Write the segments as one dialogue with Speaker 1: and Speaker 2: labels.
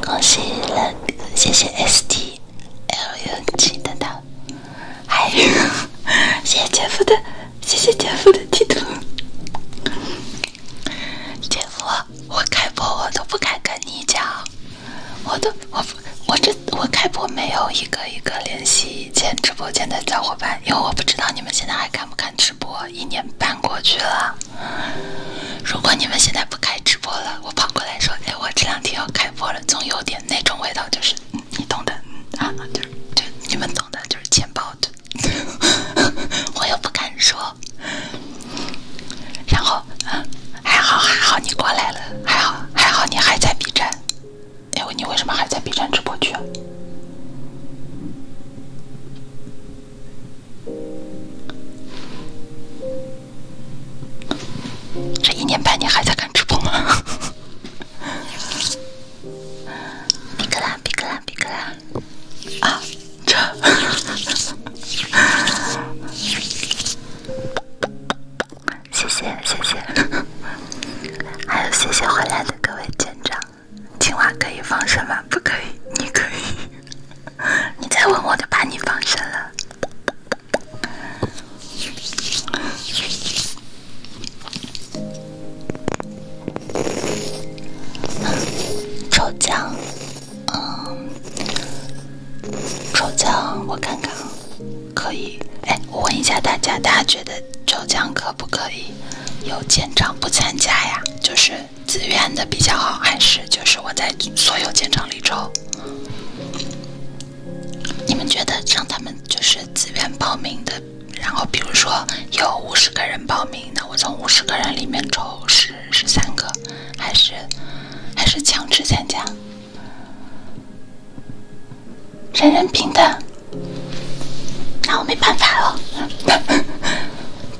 Speaker 1: 恭喜 l g 谢谢 S T L U G 的还有 谢谢姐夫的，谢谢姐夫的地图。姐夫，我开播我都不敢跟你讲，我都我我这我开播没有一个一个联系以前直播间的小伙伴，因为我不知道你们现在还看不看直播，一年半过去了。如果你们现在不开直播了，我跑过来说，哎，我这两天要开播了，总有点那种味道，就是你懂的啊，就是就你们懂的，就是钱包，我又不敢说。然后嗯，还好还好你过来了，还好还好你还在 B 站。哎，你为什么还在 B 站直播区？这一年半你还在看直播吗？皮格兰，皮格兰，皮格兰。啊！真。谢谢谢谢，还有谢谢回来的各位舰长。青蛙可以放生吗？不可以，你可以。你再问我就把你放生了。抽奖，嗯，抽奖我看看，可以。哎，我问一下大家，大家觉得抽奖可不可以有建厂不参加呀？就是。自愿的比较好，还是就是我在所有舰长里抽？你们觉得让他们就是自愿报名的，然后比如说有五十个人报名，那我从五十个人里面抽十十三个，还是还是强制参加？人人平等，那我没办法了。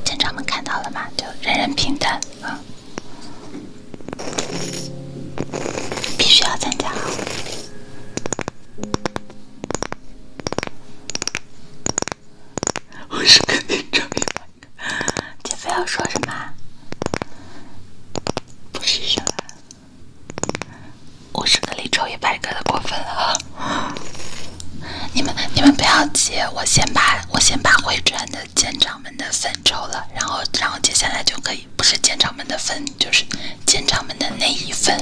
Speaker 1: 舰长们看到了吗？就人人平等。啊！必须要参加！
Speaker 2: 我是跟你唱一百个。
Speaker 1: 姐夫要说什么？不是什么。我是跟你唱一百个的过分了。你们你们不要急，我先把我先把回转的肩章。们的分抽了，然后，然后接下来就可以不是舰长们的分，就是舰长们的那一分。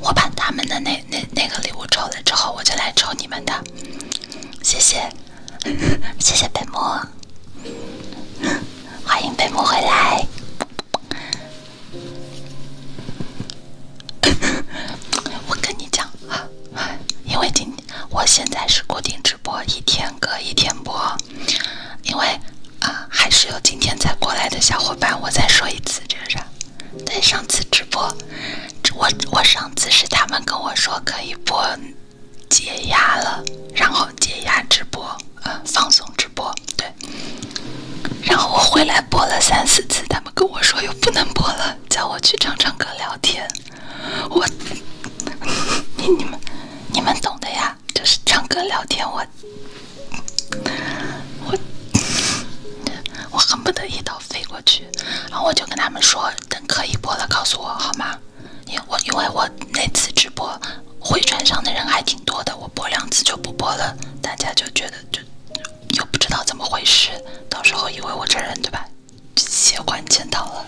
Speaker 1: 我把他们的那那那个礼物抽了之后，我就来抽你们的。谢谢，谢谢北木，欢迎北木回来。我跟你讲啊，因为今天。我现在是固定直播，一天隔一天播，因为啊还是有今天才过来的小伙伴，我再说一次，这啥？对，上次直播，我我上次是他们跟我说可以播解压了，然后解压直播，呃放松直播，对。然后我回来播了三四次，他们跟我说又不能播了，叫我去唱唱歌聊天。我，你你们，你们懂的呀，就是唱歌聊天，我，我，我恨不得一刀飞过去，然后我就跟他们说，等可以播了告诉我，好吗？因我因为我那次直播回传上的人还挺多的，我播两次就不播了，大家就觉得就又不知道怎么回事，到时候以为我这人，对吧？结果见到了，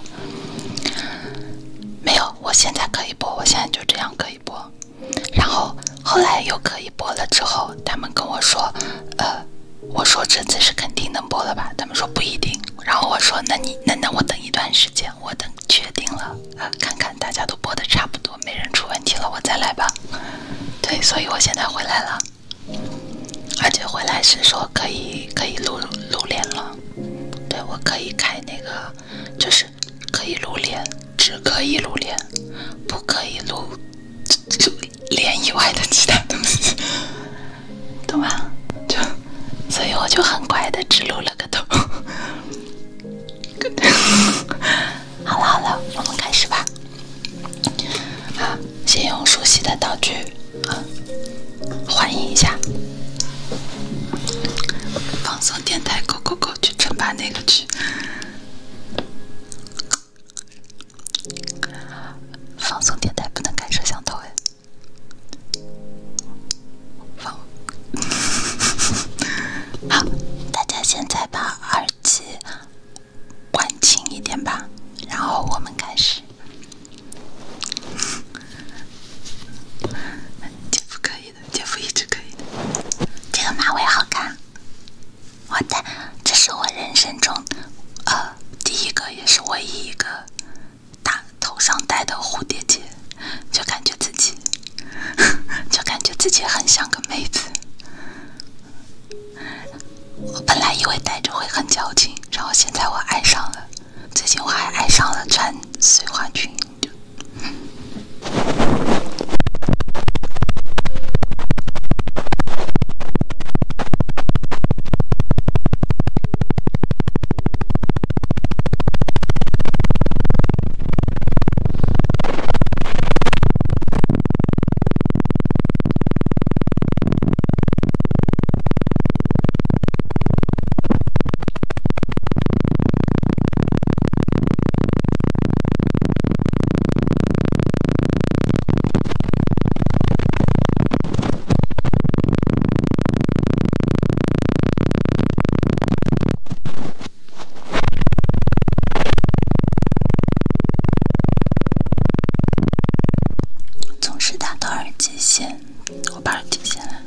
Speaker 1: 没有，我现在可以播，我现在就这样可以播，然后后来又可以播了之后，他们跟我说，呃，我说这次是肯定能播了吧？他们说不一定，然后我说那你那那我等一段时间，我等确定了，呃，看看大家都播的差不多，没人出问题了，我再来吧。对，所以我现在回来了。而且回来是说可以可以露露脸了，对我可以开那个，就是可以露脸，只可以露脸，不可以露脸以外的其他东西，懂吗？就，所以我就很乖的只露了个头。好了好了，我们开始吧。好。先用熟悉的道具，啊，欢迎一下。放松电台 g o g 去唱吧那个曲。放松电台不能开摄像头哎。好，大家现在把耳机关轻一点吧，然后我们开始。姐夫可以的，姐夫一直可以的。这个马尾好看。我的，这是我人生中呃第一个也是唯一一个大头上戴的蝴蝶结，就感觉自己，就感觉自己很像个妹子。我本来以为戴着会很矫情，然后现在我爱上了。最近我还爱上了穿碎花裙。
Speaker 2: 总是打到耳
Speaker 1: 机线。我把耳记下来。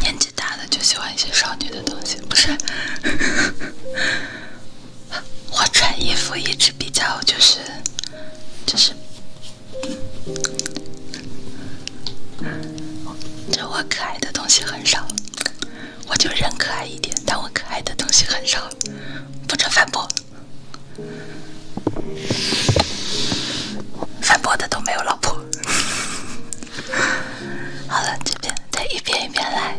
Speaker 1: 年纪大的就喜欢一些少女的东西，不是？我穿衣服一直比较就是就是，就我可爱的东西很少，我就人可爱一点，但我可爱的东西很少，不准反驳。反驳的都没有老婆。好了，这边再一遍一遍来。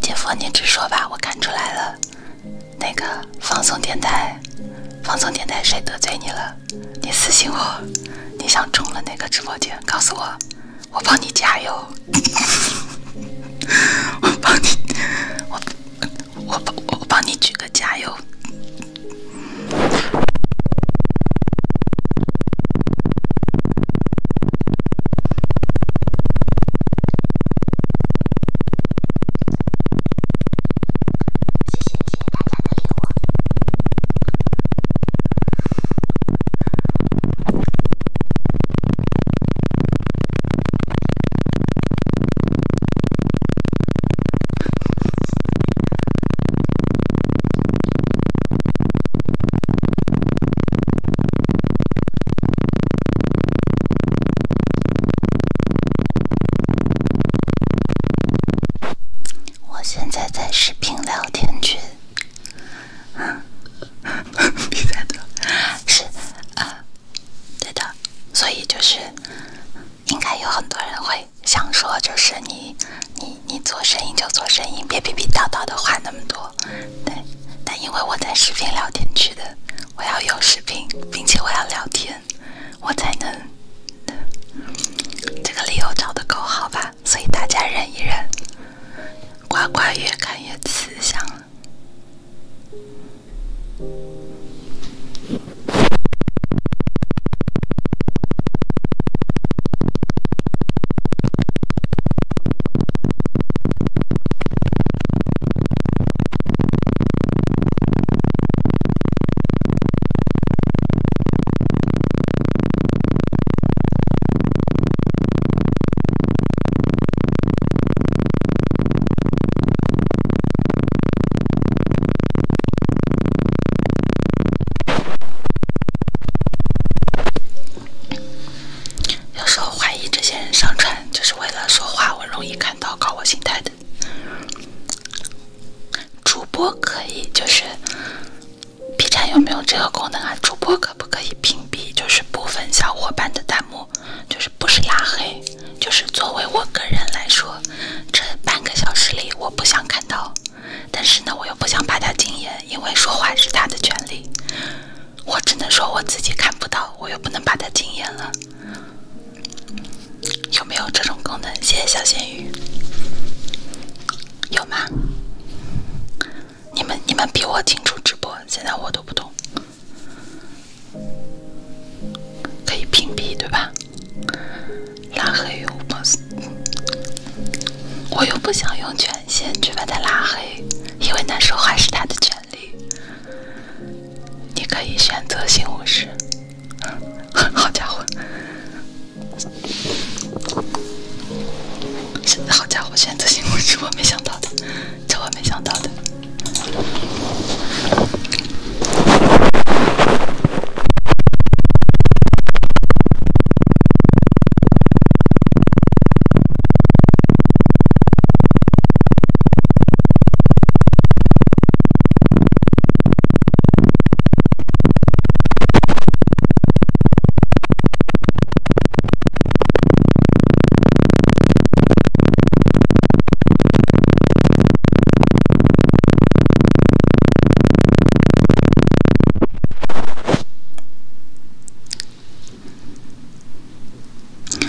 Speaker 1: 姐夫，你直说吧，我看出来了。那个放松电台，放松电台谁得罪你了？你私信我，你想中了哪个直播间？告诉我。我帮你加油，我帮你，我我我帮你举个加油。我现在在视频聊天群。比赛的，是啊，对的，所以就是应该有很多人会想说，就是你你你做生意就做生意，别逼逼叨叨的话那么多。对，但因为我在视频聊天区的，我要有视频，并且我要聊天，我才能。这个理由找的够好吧？所以大家忍一忍，呱呱越看越慈祥。有时候怀疑这些人上传就是为了说话，我容易看到搞我心态的主播可以就是。B 站有没有这个功能啊？主播可不可以屏蔽，就是部分小伙伴的弹幕，就是不是拉黑，就是作为我个人来说，这半个小时里我不想看到，但是呢，我又不想把他禁言，因为说话是他的权利，我只能说我自己看不到，我又不能把他禁言了，有没有这种功能？谢谢小咸鱼，有吗？你们你们比我清楚直播，现在我都不懂，可以屏蔽对吧？拉黑又不是，我又不想用权限去把他拉黑，因为那说话是他的权利。你可以选择性无视。好家伙！好家伙，选择性无知我没想到的，这我没想到的。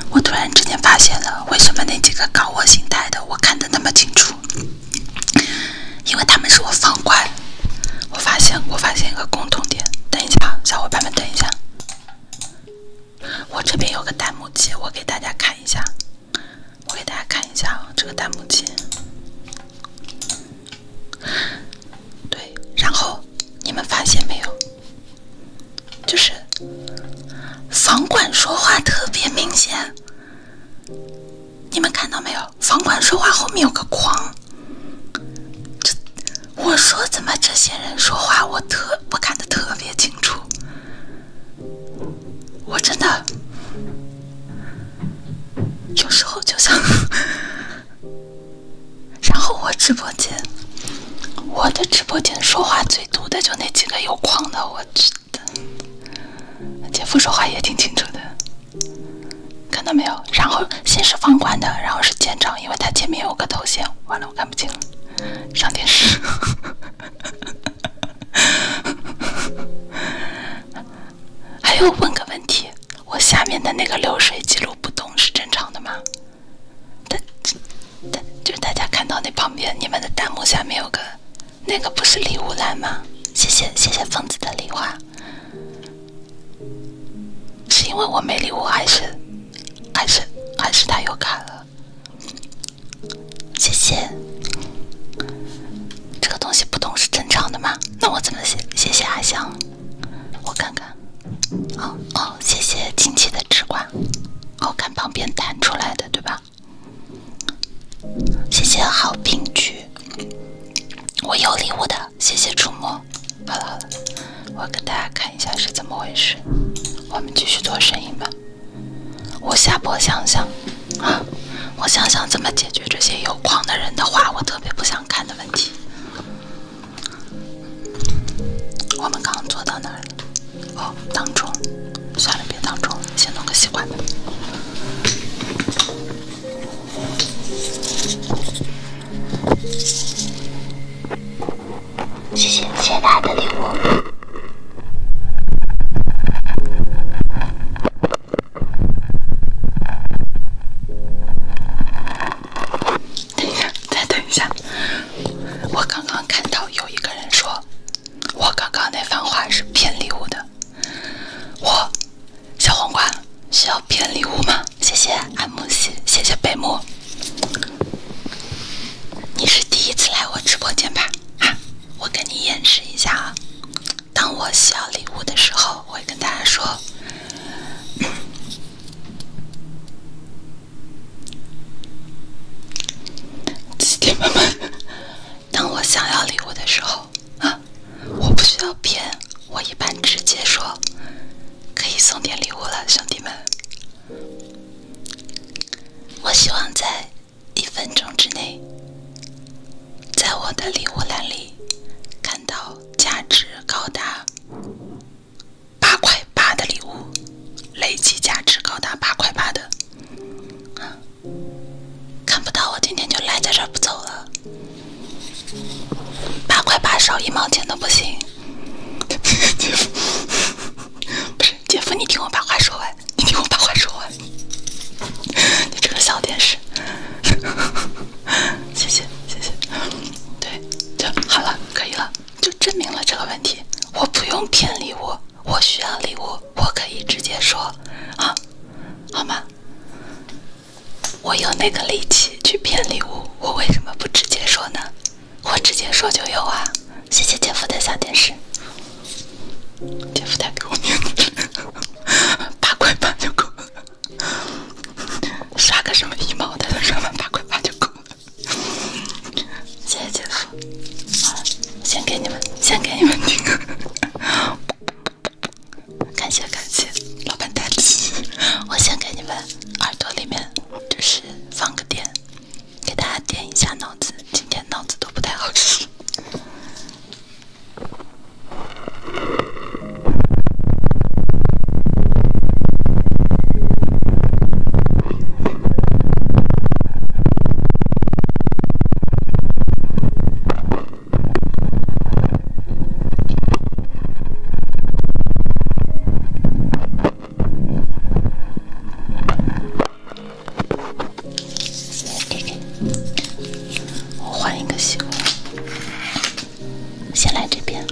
Speaker 1: 我突然之间发现了，为什么那几个搞我心态的我看的那么清楚？因为他们是我放怪。我发现，我发现一个共同点。等一下，小伙伴们，等一下。我这边有个弹幕机，我给大家看一下。我给大家看一下这个弹幕机。对，然后你们发现没有？就是房管说话特别明显。你们看到没有？房管说话后面有个框。这，我说怎么这些人说话，我特我看的特别清楚。我真的有时候就想，然后我直播间，我的直播间说话最毒的就那几个有框的，我觉的，姐夫说话也挺清楚的。看到没有？然后先是放宽的，然后是渐长，因为它前面有个头衔。完了，我看不清了。上电视。还有，问个问题，我下面的那个流水记录不动是正常的吗？大，但就是大家看到那旁边你们的弹幕下面有个，那个不是礼物栏吗？谢谢谢谢疯子的礼花。是因为我没礼物，还是还是还是他又卡了？谢谢，这个东西不懂是正常的吗？那我怎么写？谢谢阿香，我看看。好哦，谢谢亲戚的吃瓜。我看旁边弹出来的，对吧？谢谢好评局，我有礼物的。谢谢触摸。好了好了，我给大家看一下是怎么回事。我们继续做生意吧。我下播想想啊，我想想怎么解决这些有矿的人的话，我特别不想看的问题。我们刚坐到那儿了，哦，当中，算了，别当中先弄个吸管。谢谢谢谢家的礼物。等一下，再等一下，我刚刚看到有一个人说，我刚刚那番话是骗礼物的。我小黄瓜是要骗礼物吗？谢谢安慕希，谢谢北木。你是第一次来我直播间吧？啊，我给你演示一下啊。当我需要礼物的时候，会跟大家说。当我想要礼物的时候，啊，我不需要骗，我一般直接说。可以送点礼物了，兄弟们！我希望在一分钟之内，在我的礼物栏里看到价值高达八块八的礼物，累计价值高达八块八的。看不到，我今天就赖在这不走了。八块八少一毛钱都不行。姐夫，不是姐夫，你听我把话说完，你听我把话说完，你这个小点是，谢谢谢谢，对，就好了，可以了，就证明了这个问题，我不用骗礼物，我需要礼物，我可以直接说，啊，好吗？我有那个力气去骗礼物，我为什么不直接说呢？我直接说就有啊！谢谢姐夫的小电视，姐夫带给我子，八块八就够了，刷个什么一毛的，刷完八块八就够了。谢谢姐夫，先给你们，先给你们听，感谢感谢，老板大气，我先给你们耳朵里面。就是放个电，给大家电一下脑子。今天脑子都
Speaker 2: 不太好使。
Speaker 1: OK，我换一个习惯，先来这边。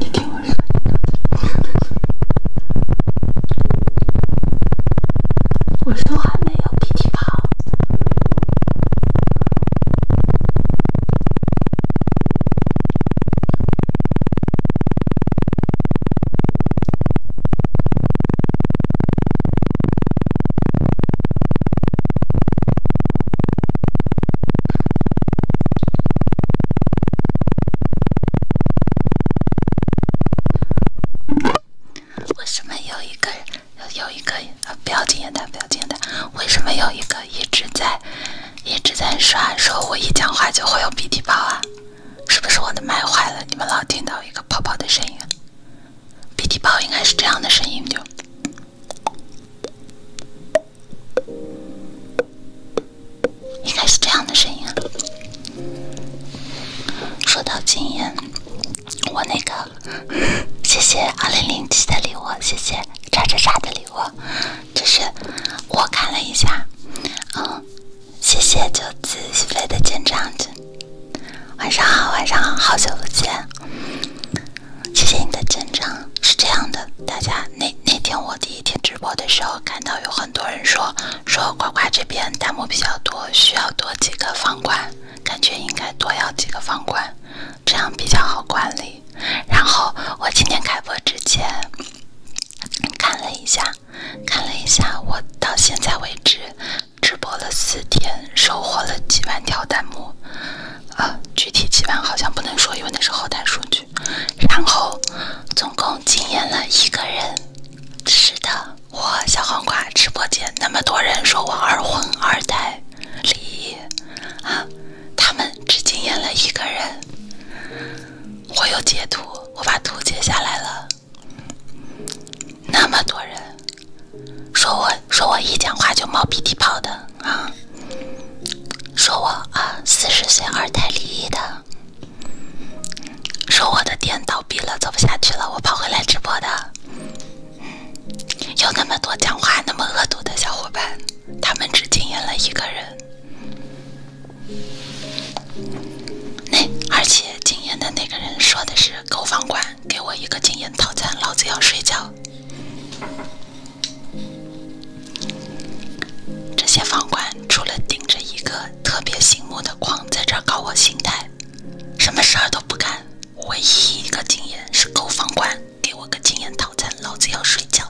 Speaker 1: 你听我说，我说话没有脾气泡。为什么有一个人？有一个呃，不要经验的，不要经验的。为什么有一个一直在一直在刷，说我一讲话就会有鼻涕泡啊？是不是我的麦坏了？你们老听到一个泡泡的声音？鼻涕泡应该是这样的声音，就。应该是这样的声音。说到禁言，我那个。谢谢二零零七的礼物，谢谢叉叉叉的礼物，这是我看了一下，嗯，谢谢九子起飞的见章晚上好，晚上好，好久不见，谢谢你的见证，是这样的，大家那那天我第一天直播的时候，看到有很多人说说呱呱这边弹幕比较多，需要多几个方块。感觉应该多要几个方块，这样比较好管理。然后我今天开播之前看了一下，看了一下我到现在为止直播了四天，收获了几万条弹幕。呃，具体几万好像不能说，因为那是后台数据。然后总共惊艳了一个人，是的。我小黄瓜直播间那么多人说我二婚二胎离异啊，他们只惊艳了一个人。我有截图，我把图截下来了。那么多人说我说我一讲话就冒鼻涕泡的啊，说我啊四十岁二胎离异的，说我的店倒闭了，走不下去了，我跑回来直播的。有那么多讲话那么恶毒的小伙伴，他们只惊艳了一个人。那而且惊艳的那个人说的是狗房管，给我一个惊艳套餐，老子要睡觉。这些房管除了顶着一个特别醒目的框在这搞我心态，什么事儿都不干。唯一一个经验是购房款，给我个经验套餐，老子要睡觉。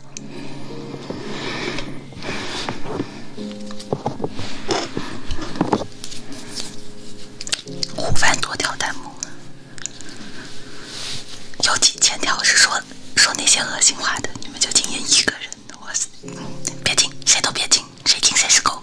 Speaker 1: 五万多条弹幕，有几千条是说说那些恶心话的，你们就经验一个人，哇塞，别听，谁都别听，谁听谁是狗。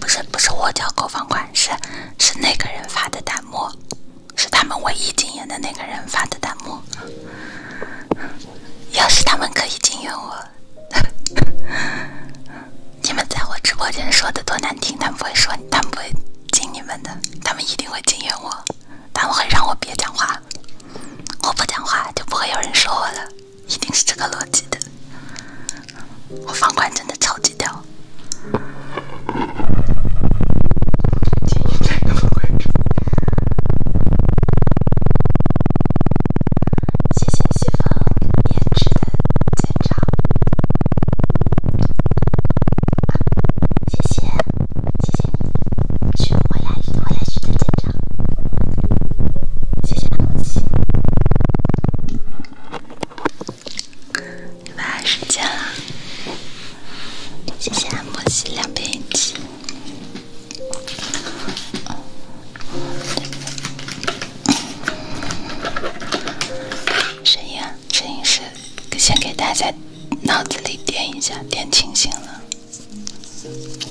Speaker 1: 不是不是我叫购房款，是是那个人发的弹幕，是他们唯一禁言的那个人发的弹幕。要是他们可以禁言我，你们在我直播间说的多难听，他们不会说，他们不会禁你们的，他们一定会禁言我，他们会让我别讲话，我不讲话就不会有人说我了。一定是这个逻辑的，我房管真的超级屌！谢谢各谢风编织的锦
Speaker 2: 谢谢，谢谢你，去回来，回来去锦章。谢谢按摩器，
Speaker 1: 晚安时间了。谢谢按摩器两瓶机。声音啊，声音是先给大家脑子里点一下，点清醒了，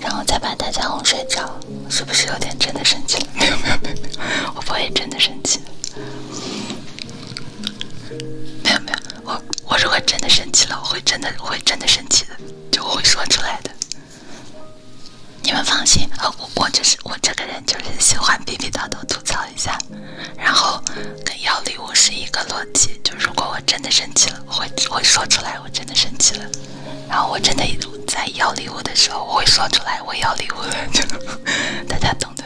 Speaker 1: 然后再把大家哄睡着。是不是有点真
Speaker 2: 的生气了？没有没有没
Speaker 1: 有，我不会真的生气的。没有没有，我我如果真的生气了，我会真的会真的生气的，就会说出来的。你们放心啊，我我就是我这个人就是喜欢逼逼叨叨吐槽一下，然后跟要礼物是一个逻辑。就如果我真的生气了，我会会说出来，我真的生气了。然后我真的在要礼物的时候，我会说出来我要礼物，大家懂的。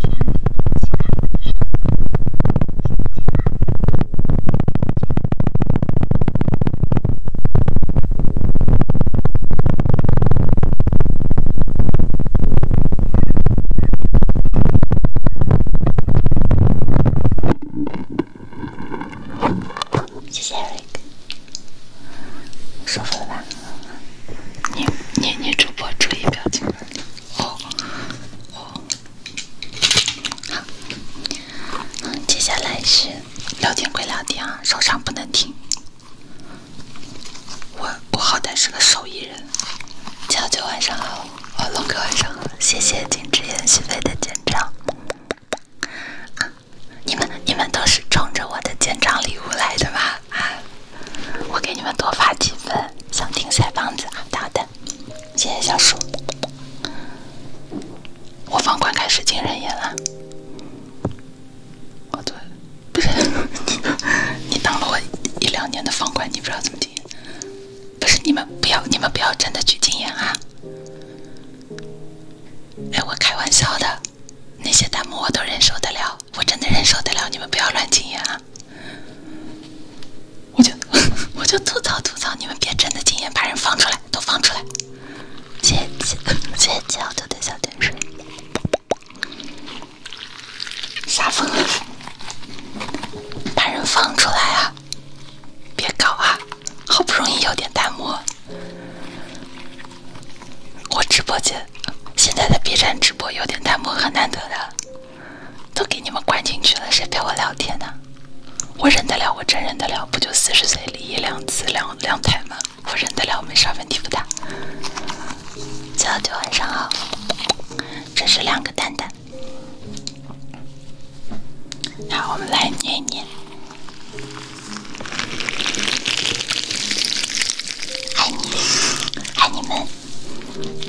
Speaker 1: 谢谢，谢谢吧？女女女主播注意表情。哦哦，好，嗯，接下来是聊天归聊天啊，受伤不能停。我我好歹是个手艺人。乔九晚上好，哦龙哥晚上好，谢谢金之言许飞的见章。你们你们都是冲着我的见章礼物来的吧？啊！我给你们多发几份，想听塞棒子啊？好的，谢谢小叔。我方块开始进人眼了。我操！不是 你，当了我一两年的方块，你不知道怎么进。不是你们不要，你们不要真的去禁言啊！哎，我开玩笑的，那些弹幕我都忍受得了。我真的忍受得了，你们不要乱禁言啊！我就 我就吐槽吐槽，你们别真的禁言，把人放出来，都放出来！姐姐姐姐，我就得小点声，撒疯！把人放出来啊！别搞啊！好不容易有点弹幕，我直播间现在的 B 站直播有点弹幕，很难得的。都给你们关进去了，谁陪我聊天呢？我忍得了，我真忍得了，不就四十岁离异两次两两胎吗？我忍得了，没啥问题不大。早九晚上好，这是两个蛋蛋，好，我们来捏捏，爱你，爱你们。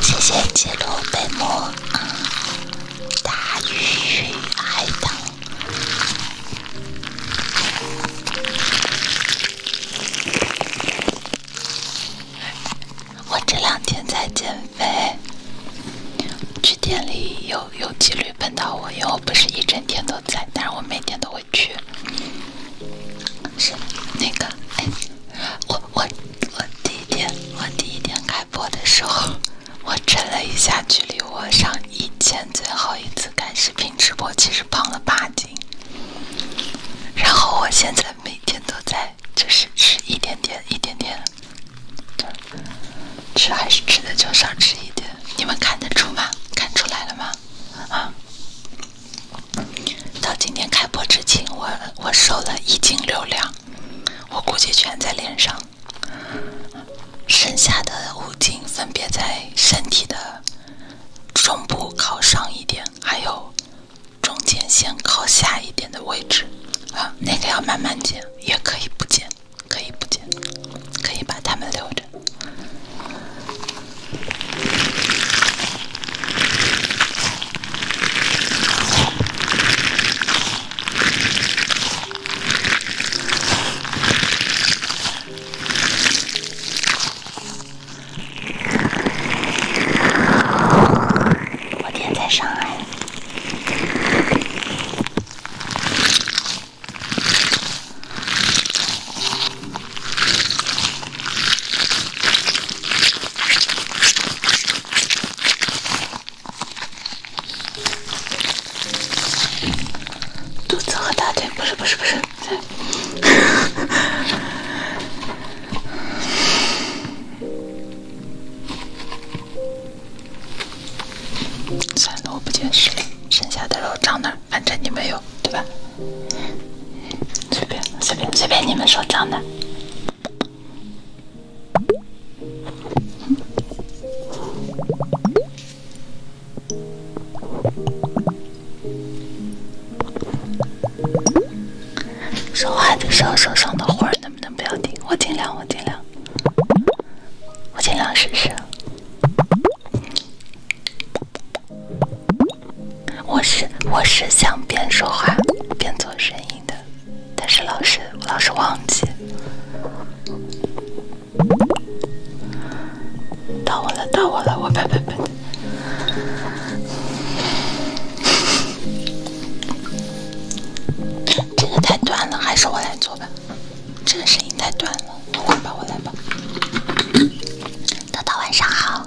Speaker 1: 谢谢记录本末，大鱼海棠。我这两天在减肥，去店里有有几率碰到我，因为我不是一整天都在，但是我每天都会去。是那个，哎，我我。我第一天，我第一天开播的时候，我称了一下，距离我上以前最后一次开视频直播，其实胖了八斤。然后我现在每天都在，就是吃一点点，一点点，吃还是吃的就少吃一点。你们看得出吗？看出来了吗？啊？到今天开播之前，我我瘦了一斤六两，我估计全在脸上，剩下的五斤分别在身体的中部靠上一点，还有中间线靠下一点的位置，啊，那个要慢慢减，也可以不减，可以不减，可以把它们留着。昨天在上海。肚子和大腿不是不是不是，算了我不捡实力，剩下的肉长哪？反正你没有对吧？随便随便随便你们说长哪。说话的时候手上的花能不能不要停？我尽量，我尽量，我尽量试试。我是我是想边说话边做声音的，但是老是老是忘记。到我了，到我了，我呸呸呸！这个太短了，还是我来做吧。这个声音太短了，我来吧，我来吧。豆豆晚上好。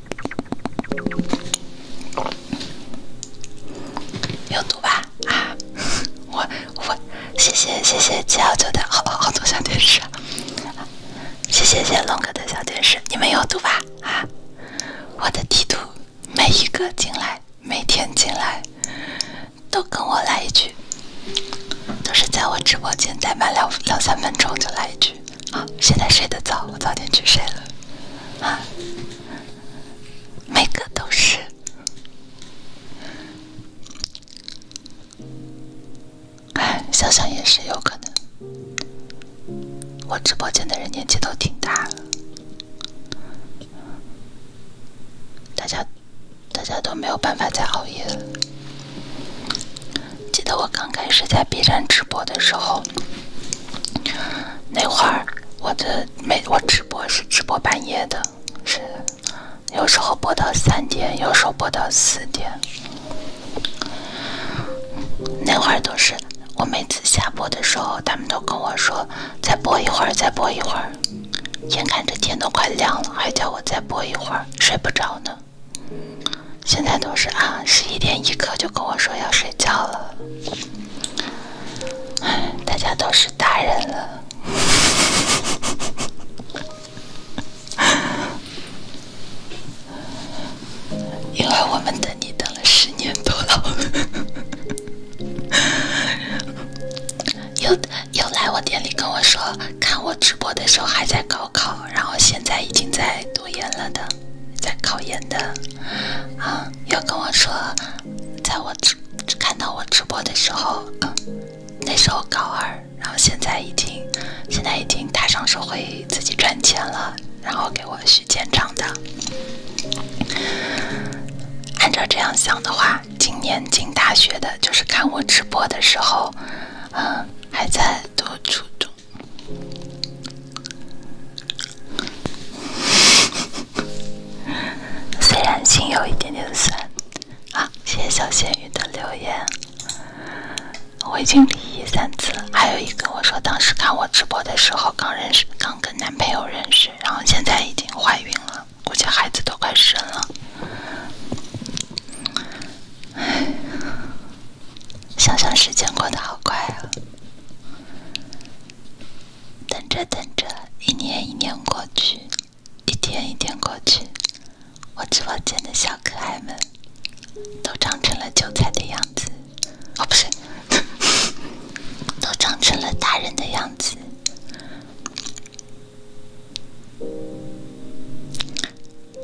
Speaker 1: 有毒吧啊！我我谢谢谢谢七幺九的好好多小电视，谢谢谢谢龙哥的小电视，你们有毒吧啊！我的地图，每一个进来，每天进来，都跟我来一句，都是在我直播间待满两两三分钟就来一句。好，现在睡得早，我早点去睡了。啊，每个都是。哎，想想也是有可能。我直播间的人年纪都挺大了，大家，大家都没有办法再熬夜了。记得我刚开始在 B 站直播的时候，那会儿我的每我直播是直播半夜的，是有时候播到三点，有时候播到四点。那会儿都是我每次下播的时候，他们都跟我说再播一会儿，再播一会儿。眼看着天都快亮了，还叫我再播一会儿，睡不着呢。现在都是啊，十一点一刻就跟我说要睡觉了。大家都是大人了。因为我们等你等了十年多了。又又来我店里跟我说，看我直播的时候还在高考，然后现在已经在。读研了的，在考研的啊，有跟我说，在我直看到我直播的时候，那时候高二，然后现在已经，现在已经踏上社会自己赚钱了，然后给我续建账的。按照这样想的话，今年进大学的就是看我直播的时候，嗯，还在读初中。虽然心有一点点酸啊，谢谢小仙女的留言，我已经离异三次。还有一个我说，当时看我直播的时候刚认识，刚跟男朋友认识，然后现在已经怀孕了，估计孩子都快生了。唉，想想时间过得好快啊。等着等着，一年一年过去，一天一天过去，我直播间的小可爱们，都长成了韭菜的样子，哦不是，都长成了大人的样子。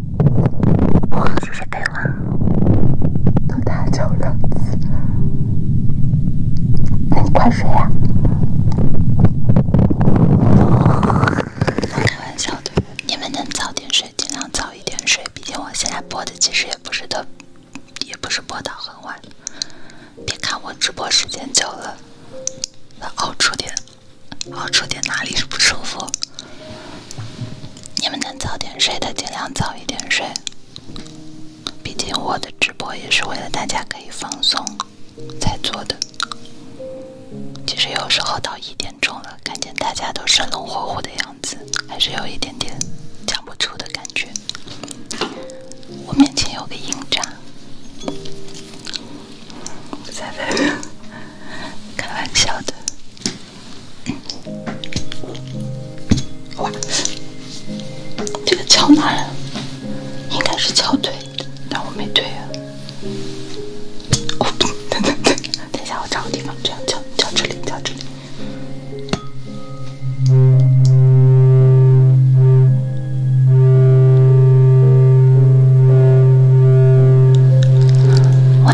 Speaker 1: 谢谢是我多都太两了。那你快睡呀！开玩笑的，你们能早点睡，尽量早一点睡。毕竟我现在播的其实也不是特，也不是播到很晚。别看我直播时间久了，能熬出点。好，出点哪里是不舒服？你们能早点睡的尽量早一点睡，毕竟我的直播也是为了大家可以放松才做的。其实有时候到一点钟了，看见大家都生龙活虎的样子，还是有一点点讲不出的感觉。我面前有个硬渣，我 在。开玩笑的，哇，这个敲哪了？应该是敲腿，但我没推啊。哦，
Speaker 2: 等等等，等下我找个地方这样敲，敲这里，敲这里。
Speaker 1: 哇。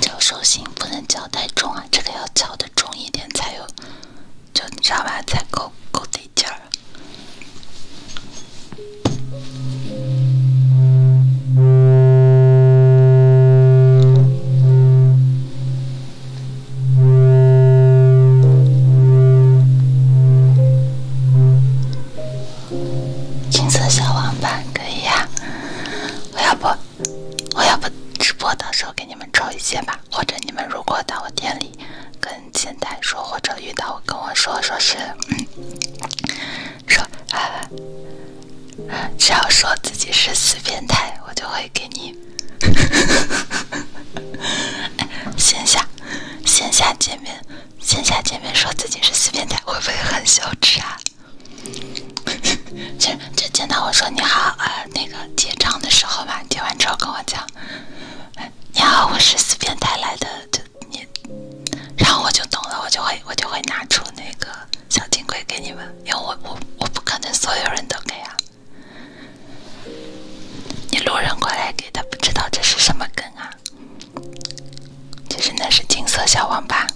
Speaker 1: 敲手心不能敲太重啊，这个要敲的重一点才有，就上完才够够劲。一件金色小王版可以呀。我要不，我要不直播，到时候给你们抽一件吧。或者你们如果到我店里跟。前台说，或者遇到我跟我说，说是，说啊，只要说自己是死变态，我就会给你 线下线下见面线下见面说自己是死变态，会不会很羞耻啊？就就见到我说你好，呃，那个结账的时候嘛，结完之后跟我讲。你好，我是四变态来的，就你，然后我就懂了，我就会我就会拿出那个小金龟给你们，因为我我我不可能所有人都给啊。你路人过来给的，不知道这是什么梗啊？其实那是金色小网吧，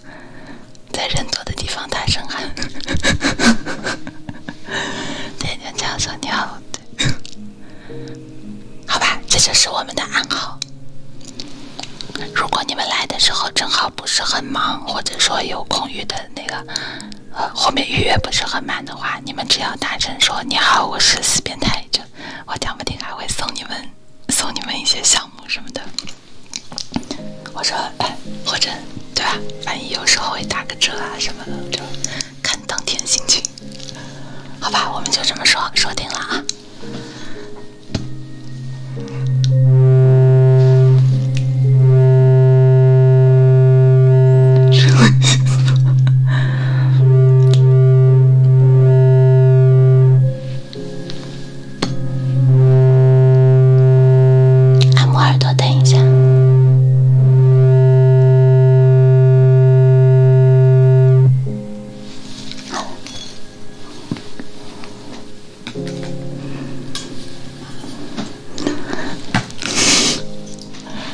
Speaker 1: 在人多的地方大声喊，对，哈哈哈哈你好。你对。好吧，这就是我们的暗号。如果你们来的时候正好不是很忙，或者说有空余的那个，呃，后面预约不是很满的话，你们只要大声说“你好，我是四变态”，就我讲不定还会送你们送你们一些项目什么的。我说，哎，或者对吧？万一有时候会打个折啊什么的。看当天心情，好吧，我们就这么说说定了啊！按摩耳朵，等一下。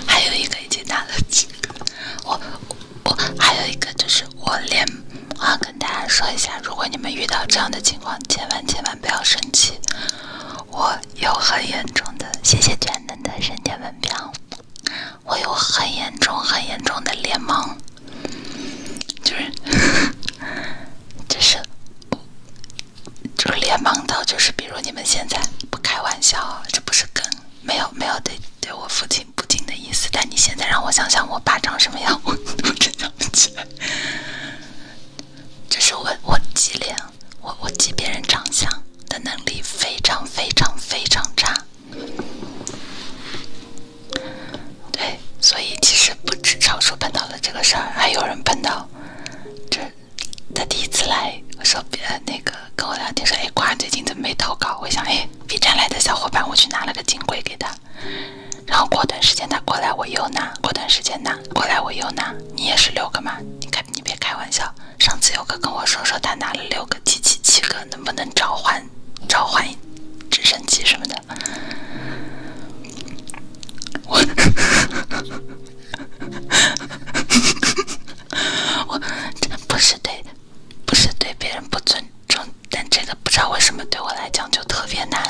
Speaker 1: 还有一个已经打了我我还有一个就是我连，我跟大家说一下，如果你们遇到这样的情况，千万千万不要生气。我有很严重的，谢谢卷能的神文评。我有很严重、很严重的脸盲，就是，就是，就是脸盲到就是，比如你们现在不开玩笑，这不是跟没有、没有对对我父亲不敬的意思，但你现在让我想想我爸长什么样，我我真想不起来。这是我我记脸，我我记别人长相的能力非常非常非常差。对，所以其实不止超叔碰到了这个事儿，还有人碰到，这他第一次来，我说别那个跟我聊天说，哎，瓜最近怎么没投稿？我想，哎，B 站来的小伙伴，我去拿了个金龟给他。然后过段时间他过来我又拿，过段时间拿，过来我又拿。你也是六个嘛？你开你别开玩笑，上次有个跟我说说他拿了六个，七七七个。能不能召唤，召唤直升机什么的？我，我不是对，不是对别人不尊重，但这个不知道为什么对我来讲就特别难。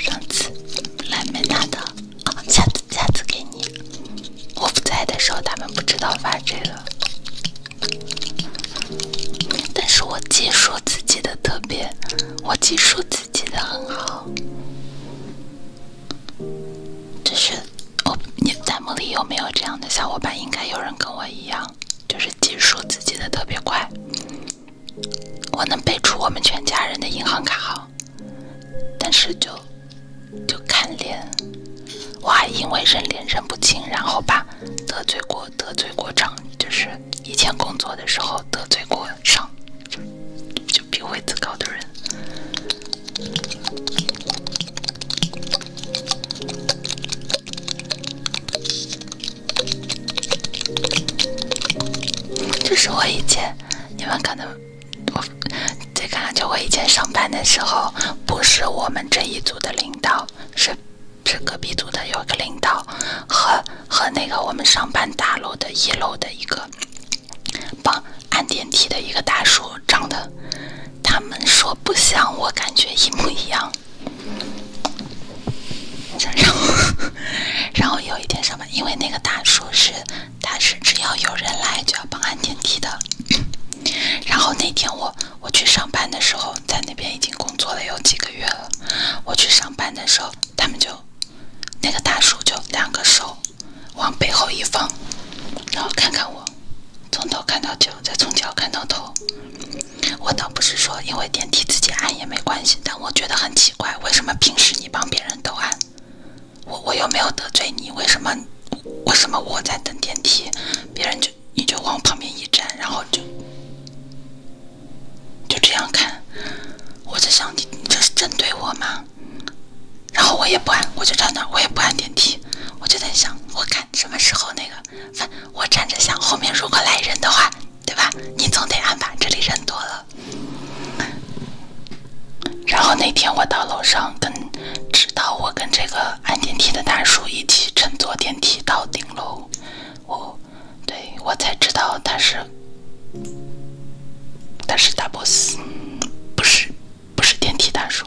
Speaker 2: 上次来没拿的，下次下次给你。
Speaker 1: 我不在的时候，他们不知道发这个。但是我姐说自己的特别，我姐说自己的很好。就是我，你弹幕里有没有这样的小伙伴？应该有人跟我一样，就是记数字记得特别快。我能背出我们全家人的银行卡号，但是就就看脸，我还因为人脸认不清，然后把得罪过得罪过长，就是以前工作的时候得罪过上比位子高的人，这是我以前，你们可能我再讲就我以前上班的时候，不是我们这一组的领导，是是隔壁组的有一个领导，和和那个我们上班大楼的一楼的一个。帮按电梯的一个大叔，长得他们说不像，我感觉一模一样。然后，然后有一天上班，因为那个大叔是他是只要有人来就要帮按电梯的。然后那天我我去上班的时候，在那边已经工作了有几个月了。我去上班的时候，他们就。那个大叔就两个手往背后一放，然后看看我，从头看到脚，再从脚看到头。我倒不是说因为电梯自己按也没关系，但我觉得很奇怪，为什么平时你帮别人都按，我我又没有得罪你，为什么为什么我在等电梯，别人就你就往旁边一站，然后就就这样看。我在想你，你这是针对我吗？然后我也不按，我就站那，我也不按电梯。我就在想，我看什么时候那个，反我站着想，后面如果来人的话，对吧？你总得按吧，这里人多了。然后那天我到楼上，跟直到我跟这个按电梯的大叔一起乘坐电梯到顶楼，我，对。我才知道他是，他是大 boss，不是，不是电梯大叔。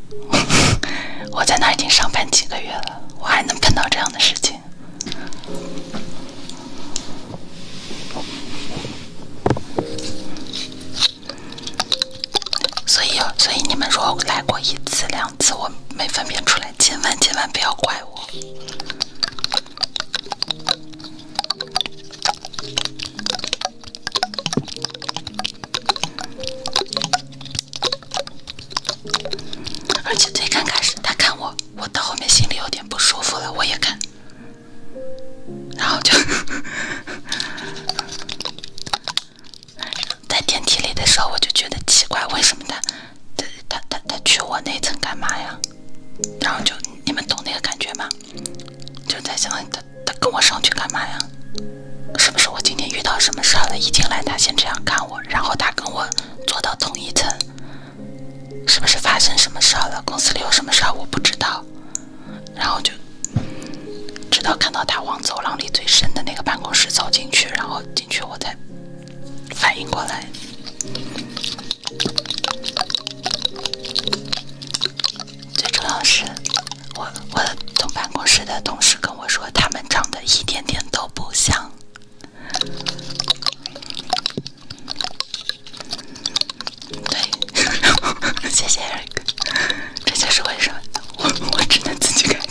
Speaker 1: 我在那已经上班几个月了，我还能碰到这样的事情？所以，所以你们如果来过一次、两次，我没分辨出来，千万千万不要怪我。而且最刚开始他看我，我到后面心里有点不舒服了，我也看，然后就 在电梯里的时候我就觉得奇怪，为什么他？他他他他去我那层干嘛呀？然后就你们懂那个感觉吗？就在想他他跟我上去干嘛呀？是不是我今天遇到什么事儿了？一进来他先这样看我，然后他跟我坐到同一层，是不是发生什么事儿了？公司里有什么事儿我不知道，然后就直到看到他往走廊里最深的那个办公室走进去，然后进去我才。反应过来，最重要是，我我同办公室的同事跟我说，他们长得一点点都不像。对，谢谢 Eric，这就是为什么我我只能自己感觉。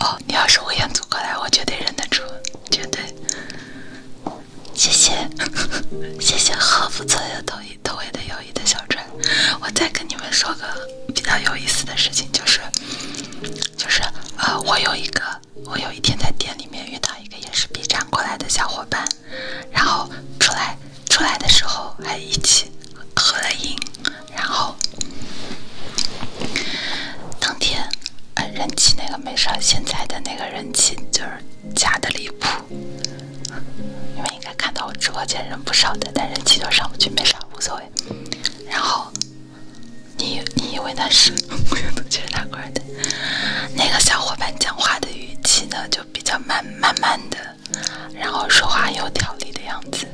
Speaker 1: 哦，你要是乌央组过来，我绝对认得出，绝对。谢谢，
Speaker 2: 谢谢，好不错的
Speaker 1: 友谊，特别的友谊的小船。我再跟你们说个比较有意思的事情，就是。就是，呃，我有一个，我有一天在店里面遇到一个也是 B 站过来的小伙伴，然后出来出来的时候还一起合了影，然后当天人气那个没啥，现在的那个人气就是假的离谱，你们应该看到我直播间人不少的，但人气就上不去没啥无所谓，然后。你你以为那是？没有，其实他关的。那个小伙伴讲话的语气呢，就比较慢，慢慢的，然后说话有条理的样子，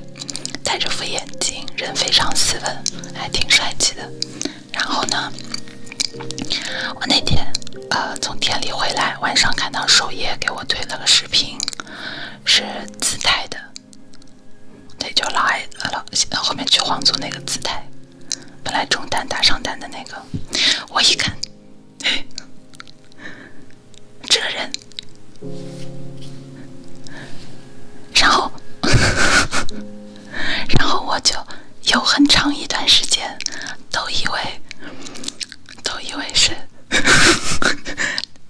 Speaker 1: 戴着副眼镜，人非常斯文，还挺帅气的。然后呢，我那天呃从店里回来，晚上看到首页给我推了个视频，是自带的。他就来了，后面去皇族那个姿态，本来中单打上单的那个，我一看，这个人，然后，然后我就有很长一段时间都以为，都以为是，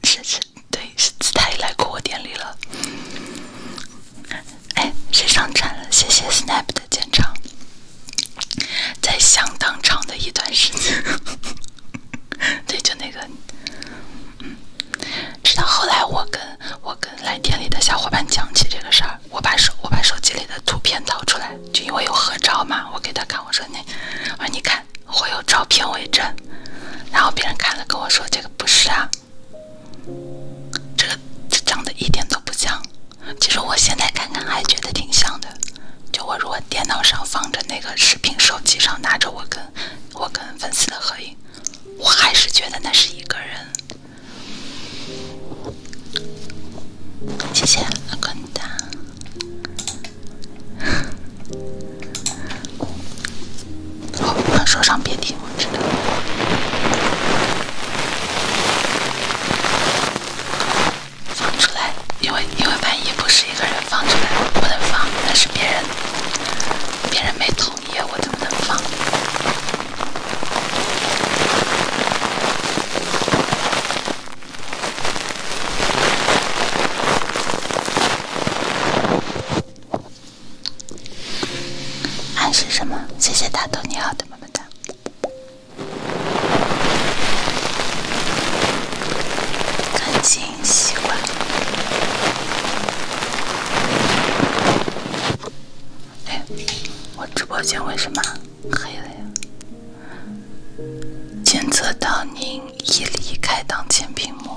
Speaker 1: 是 是。对，是他也来过我店里了。哎，谁上传了？谢谢 Snap 的建场，在相当长的一段时间。对，就那个，直到后来我跟我跟来店里的小伙伴讲起这个事儿，我把手我把手机里的图片掏出来，就因为有合照嘛，我给他看，我说你，我说你看，会有照片为证。然后别人看了跟我说，这个不是啊。这个长得一点都不像，其实我现在看看还觉得挺像的。就我如果电脑上放着那个视频，手机上拿着我跟我跟粉丝的合影，我还是觉得那是一个人。
Speaker 2: 谢谢关注。
Speaker 1: 好，说上别听，我知道。放出来，因为因为万一不是一个人放出来，不能放，那是别人，别人没同意，我怎么能放？暗示什么？谢谢大头，你好的，么么哒。更新习惯。
Speaker 2: 哎，我直
Speaker 1: 播间为什么黑了呀？检测到您已离开当前屏幕。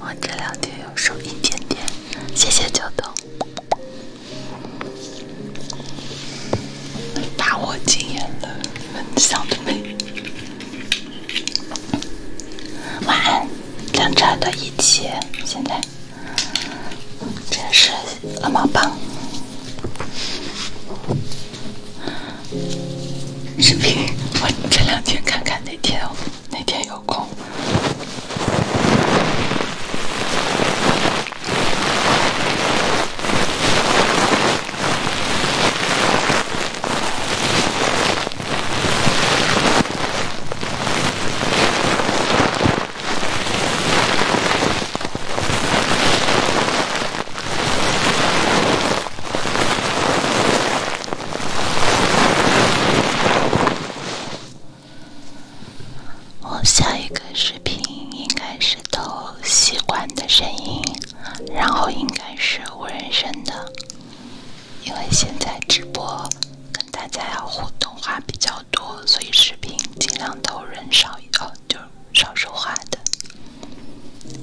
Speaker 1: 我这两天又瘦一点点，谢谢九筒，把我惊艳了。你们想美。晚安，两只耳一起。现在这是鹅毛棒。视频，我这两天看看哪天，哪天有空。我下一个视频应该是都习惯的声音，然后应该是无人声的，因为现在直播跟大家要互动话比较多，所以视频尽量都人少，哦，就少说话的。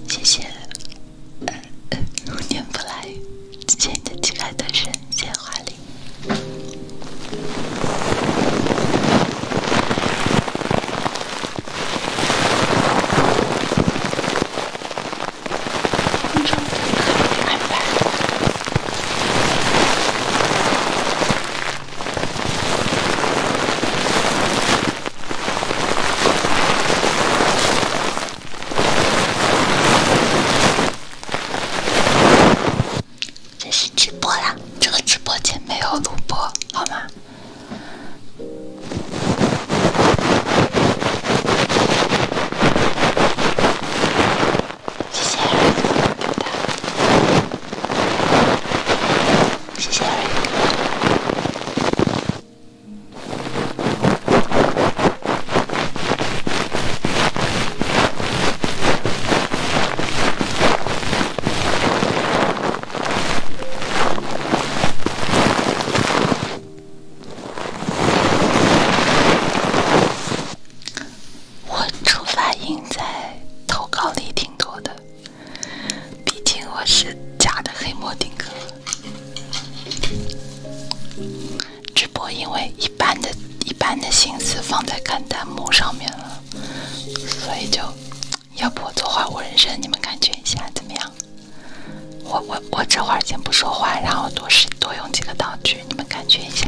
Speaker 1: 谢谢，如念不来，谢谢你的旗开得胜，谢谢华丽。空中旅客安排。这是直播啦，这个直播间没有录播，好吗？
Speaker 2: 谢谢，豆豆。谢谢。
Speaker 1: 我初发音在投稿里挺多的。毕竟我是假的黑魔丁哥，直播因为一般的、一般的心思放在看弹幕上面了，所以就要不我做花无人生，你们感觉一下怎么样？我、我、我这会儿先不说话，然后多使、多用几个道具，你们感觉一下。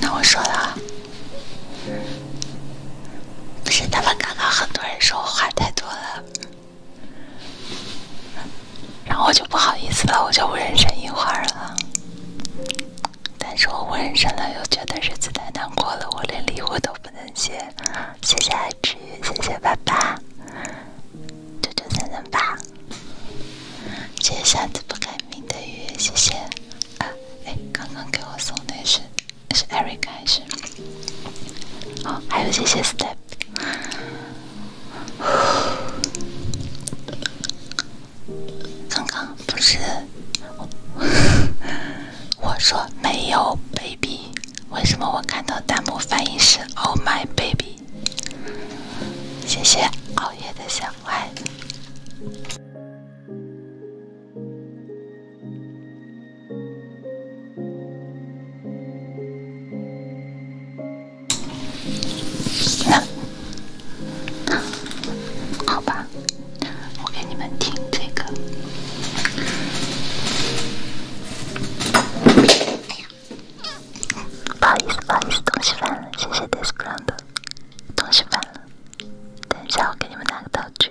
Speaker 1: 那我说了，啊，不是他们刚刚很多人说我话太多了。然后我就不好意思了，我就不认真一会儿了。但是我不认真了，又觉得日子太难过了，我连礼物都不能接。谢谢爱吃鱼，谢谢爸爸，九九三三八。谢谢下次不改名的鱼，谢谢。啊，哎，刚刚给我送的是，是 Eric 还是？哦，还有谢谢 Step。刚刚不是我说没有 baby，为什么我看到弹幕反应是 Oh my baby？谢谢熬夜的小爱。
Speaker 2: 好吧，我给你们听这个。不好意思，不好意思，东西翻了，谢谢，i s 对不起，n d 东西翻了，等一下，我给你们拿个道具。